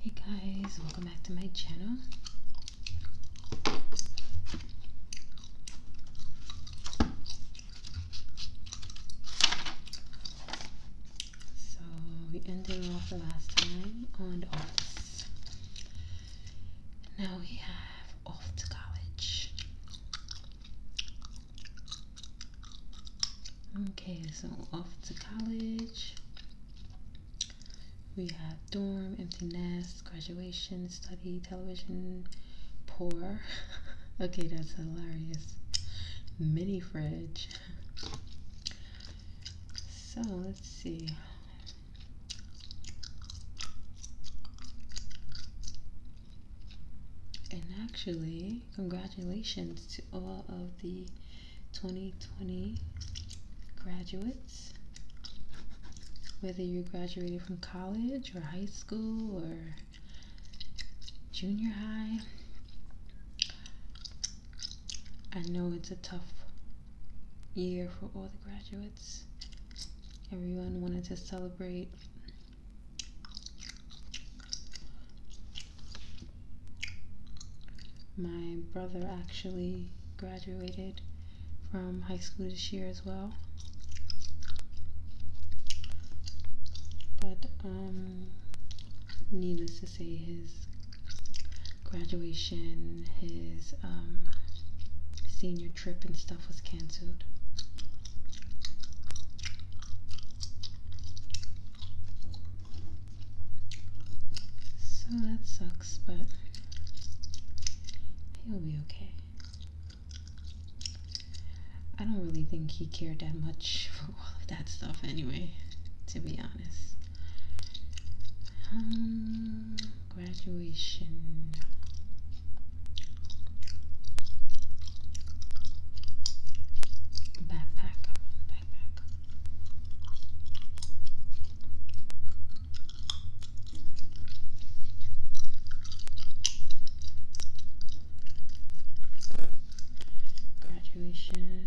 Hey guys, welcome back to my channel. So we ended off the last time on office. Now we have off to college. Okay, so off to college. We have dorm, empty nest, graduation, study, television, poor. okay, that's hilarious. Mini fridge. so let's see. And actually, congratulations to all of the 2020 graduates. Whether you graduated from college or high school or junior high, I know it's a tough year for all the graduates. Everyone wanted to celebrate my brother actually graduated from high school this year as well. But um, needless to say his graduation, his um, senior trip and stuff was cancelled. So that sucks, but he'll be okay. I don't really think he cared that much for all of that stuff anyway, to be honest. Um, graduation. Backpack, backpack. Graduation.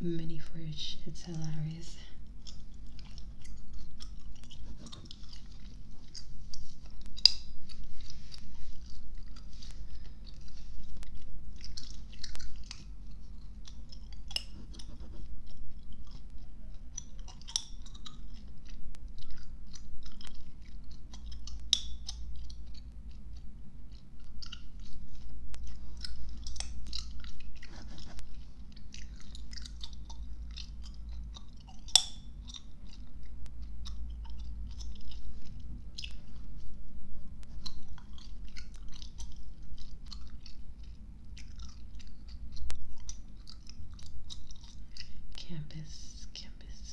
mini fridge. It's hilarious. Campus, campus,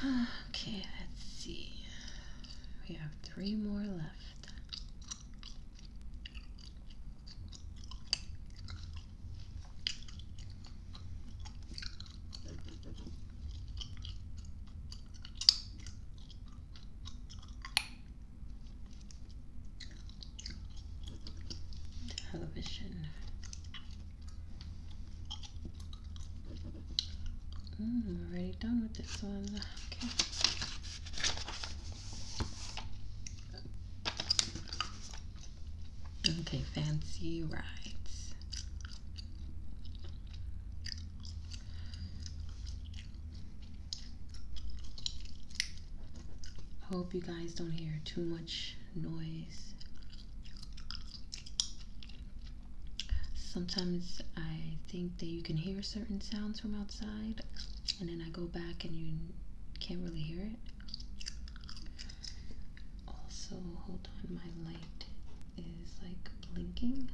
Okay, let's see. We have three more left. Television. Mm, already done with this one. Okay. Okay, fancy rides. Hope you guys don't hear too much noise. Sometimes I think that you can hear certain sounds from outside, and then I go back and you can't really hear it. Also, hold on, my light is like blinking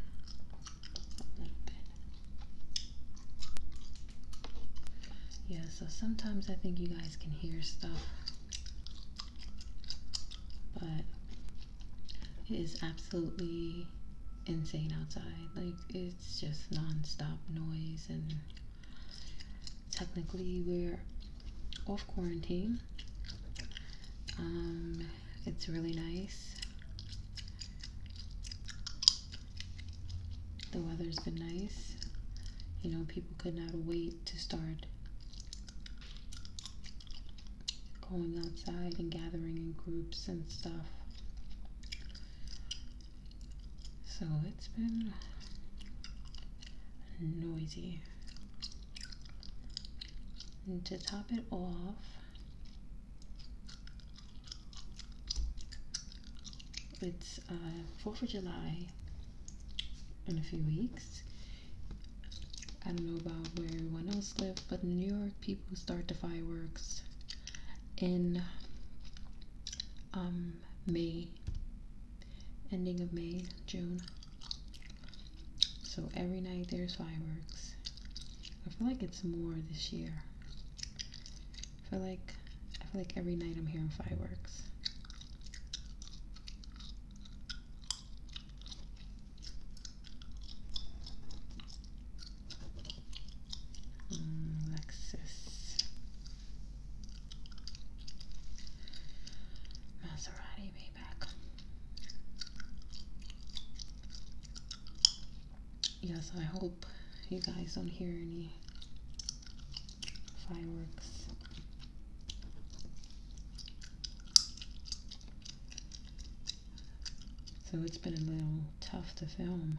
Yeah, so sometimes I think you guys can hear stuff, but it is absolutely insane outside. Like, it's just nonstop noise, and technically, we're off quarantine. Um, it's really nice. The weather's been nice. You know, people could not wait to start going outside and gathering in groups and stuff. So it's been noisy. And to top it off, it's 4th uh, of July in a few weeks. I don't know about where everyone else lives, but in New York, people start the fireworks in um, May, ending of May, June. So every night there's fireworks. I feel like it's more this year. I feel like I feel like every night I'm hearing fireworks. Mm, Lexus. Maserati Maybach. Yes, I hope you guys don't hear any fireworks. So it's been a little tough to film.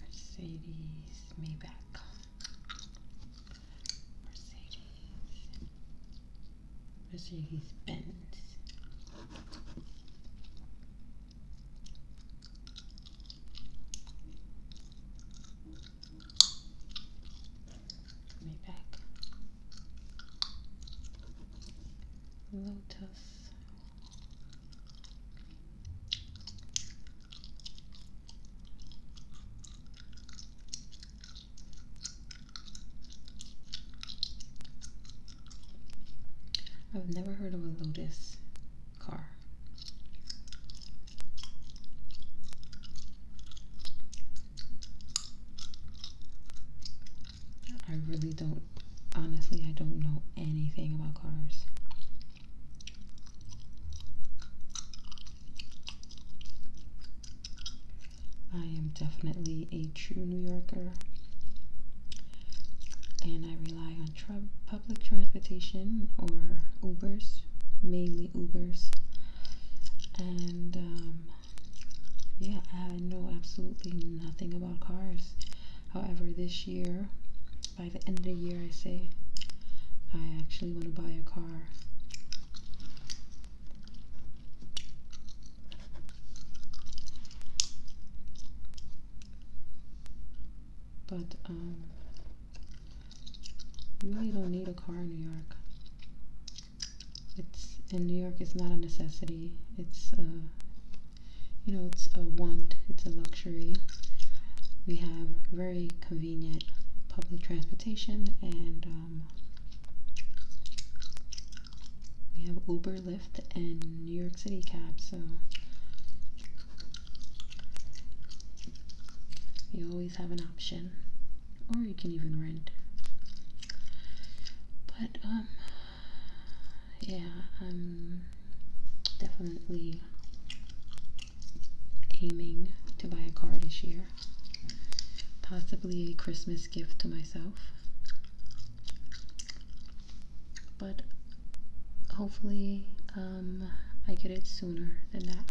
Mercedes Maybach. Mercedes. Mercedes Benz. Maybach lotus. I've never heard of a Lotus car. I really don't, honestly, I don't know anything about cars. I am definitely a true New Yorker and I rely on public transportation or Ubers, mainly Ubers. And um, yeah, I know absolutely nothing about cars. However, this year, by the end of the year, I say, I actually want to buy a car. But, um, you really don't need a car in New York. It's in New York. It's not a necessity. It's a, uh, you know, it's a want. It's a luxury. We have very convenient public transportation, and um, we have Uber, Lyft, and New York City cab. So you always have an option or you can even rent. But um, yeah, I'm definitely aiming to buy a car this year. Possibly a Christmas gift to myself. But hopefully um, I get it sooner than that.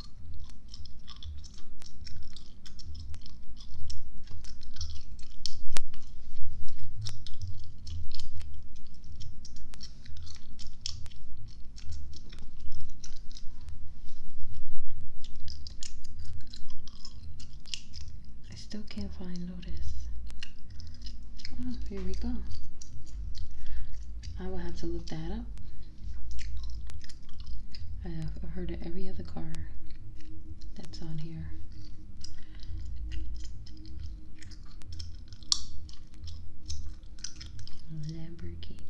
I still can't find Lotus. Oh, here we go. I will have to look that up I've heard of every other car that's on here. Lamborghini.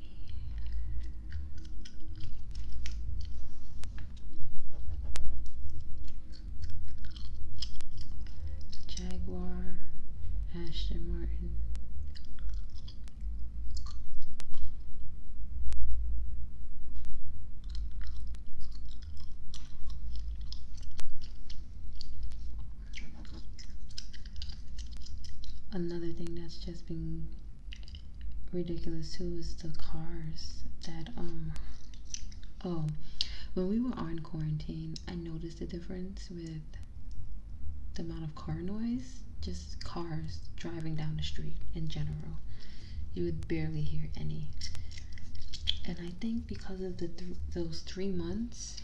Jaguar, Ashton Martin, Another thing that's just been ridiculous too is the cars that um oh when we were on quarantine I noticed the difference with the amount of car noise, just cars driving down the street in general. You would barely hear any. And I think because of the those three months,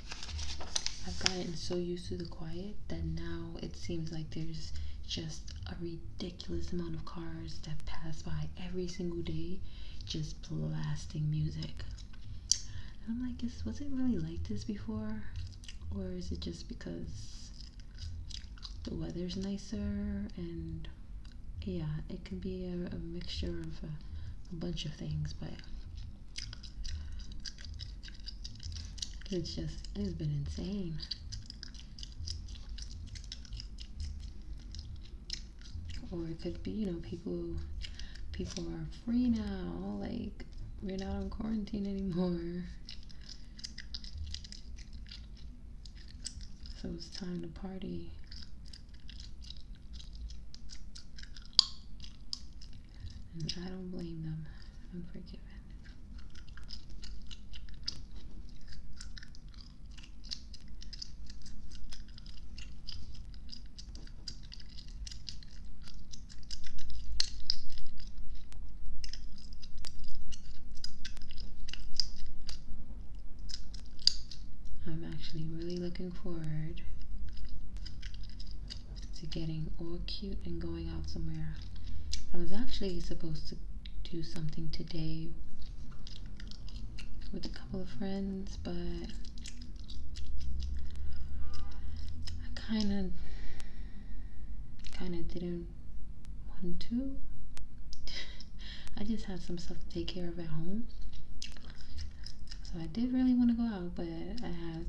I've gotten so used to the quiet that now it seems like there's just a ridiculous amount of cars that pass by every single day just blasting music. I'm like, was it really like this before? Or is it just because the weather's nicer and yeah it can be a, mixture of a bunch of things but it's just it's been insane or it could be you know people people are free now like we're not on quarantine anymore so it's time to party. And I don't blame them. I'm forgiven. I'm actually really looking forward to getting all cute and going out somewhere. I was actually supposed to do something today with a couple of friends, but I kind of kind of didn't want to. I just had some stuff to take care of at home. So I did really want to go out, but I had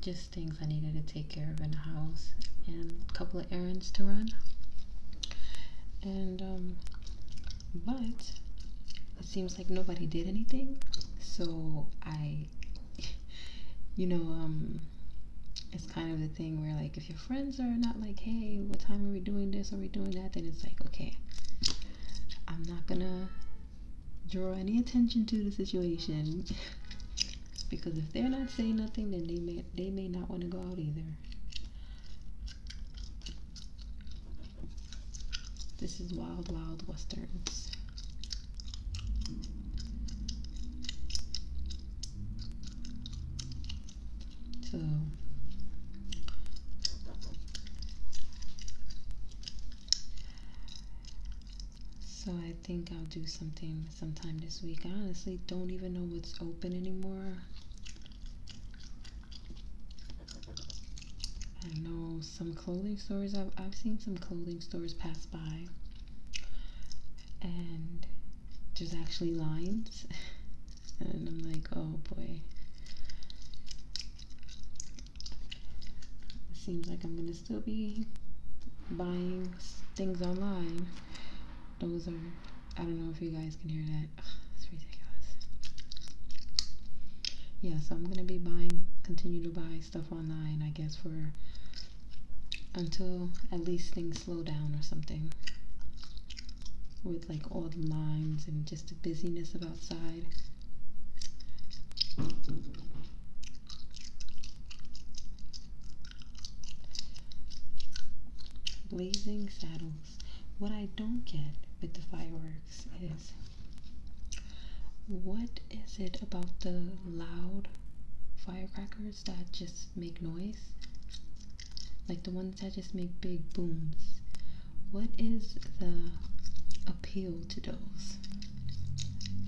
just things I needed to take care of in the house and a couple of errands to run. And, um, but it seems like nobody did anything. So I you know, um, it's kind of the thing where like if your friends are not like, hey, what time are we doing this? Are we doing that? Then it's like, okay, I'm not gonna draw any attention to the situation because if they're not saying nothing, then they may they may not want to go out either. This is Wild Wild Westerns. So So I think I'll do something sometime this week. I honestly don't even know what's open anymore. I know some clothing stores. I've, I've seen some clothing stores pass by, and there's actually lines, and I'm like, oh boy. It seems like I'm gonna still be buying things online. Those are, I don't know if you guys can hear that. Ugh, it's ridiculous. Yeah, so I'm gonna be buying, continue to buy stuff online, I guess, for until at least things slow down or something. With like all the lines and just the busyness of outside. Blazing saddles. What I don't get with the fireworks is what is it about the loud firecrackers that just make noise? Like the ones that just make big booms. What is the appeal to those?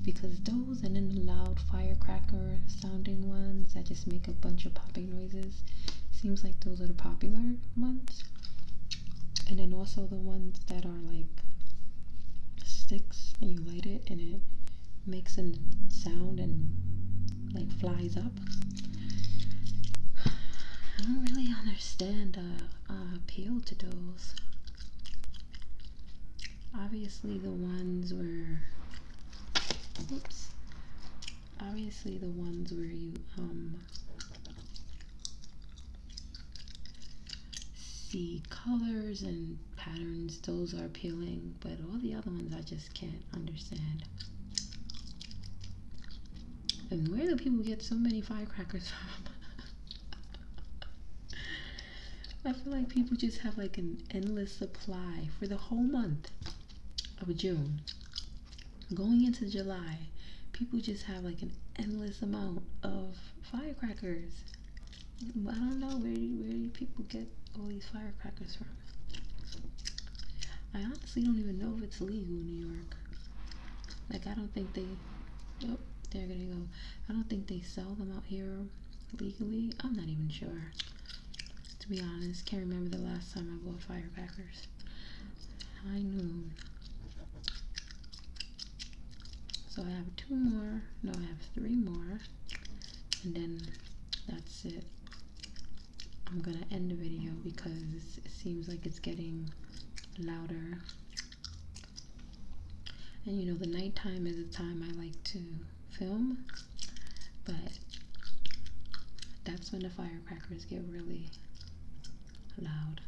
Because those and then the loud firecracker sounding ones that just make a bunch of popping noises seems like those are the popular ones and then also the ones that are like sticks and you light it and it makes a sound and like flies up. I don't really understand the uh, appeal to those. Obviously, the ones where, oops, obviously the ones where you um see colors and patterns, those are appealing, but all the other ones I just can't understand. And where do people get so many firecrackers from? I feel like people just have like an endless supply for the whole month of June. Going into July, people just have like an endless amount of firecrackers. I don't know where where do people get all these firecrackers from. I honestly don't even know if it's legal in New York. Like I don't think they. Oh, they're gonna go. I don't think they sell them out here legally. I'm not even sure. To be honest, can't remember the last time I bought firecrackers. High noon. So I have two more. No, I have three more. And then that's it. I'm gonna end the video because it seems like it's getting louder. And you know, the nighttime is the time I like to film, but that's when the firecrackers get really loud.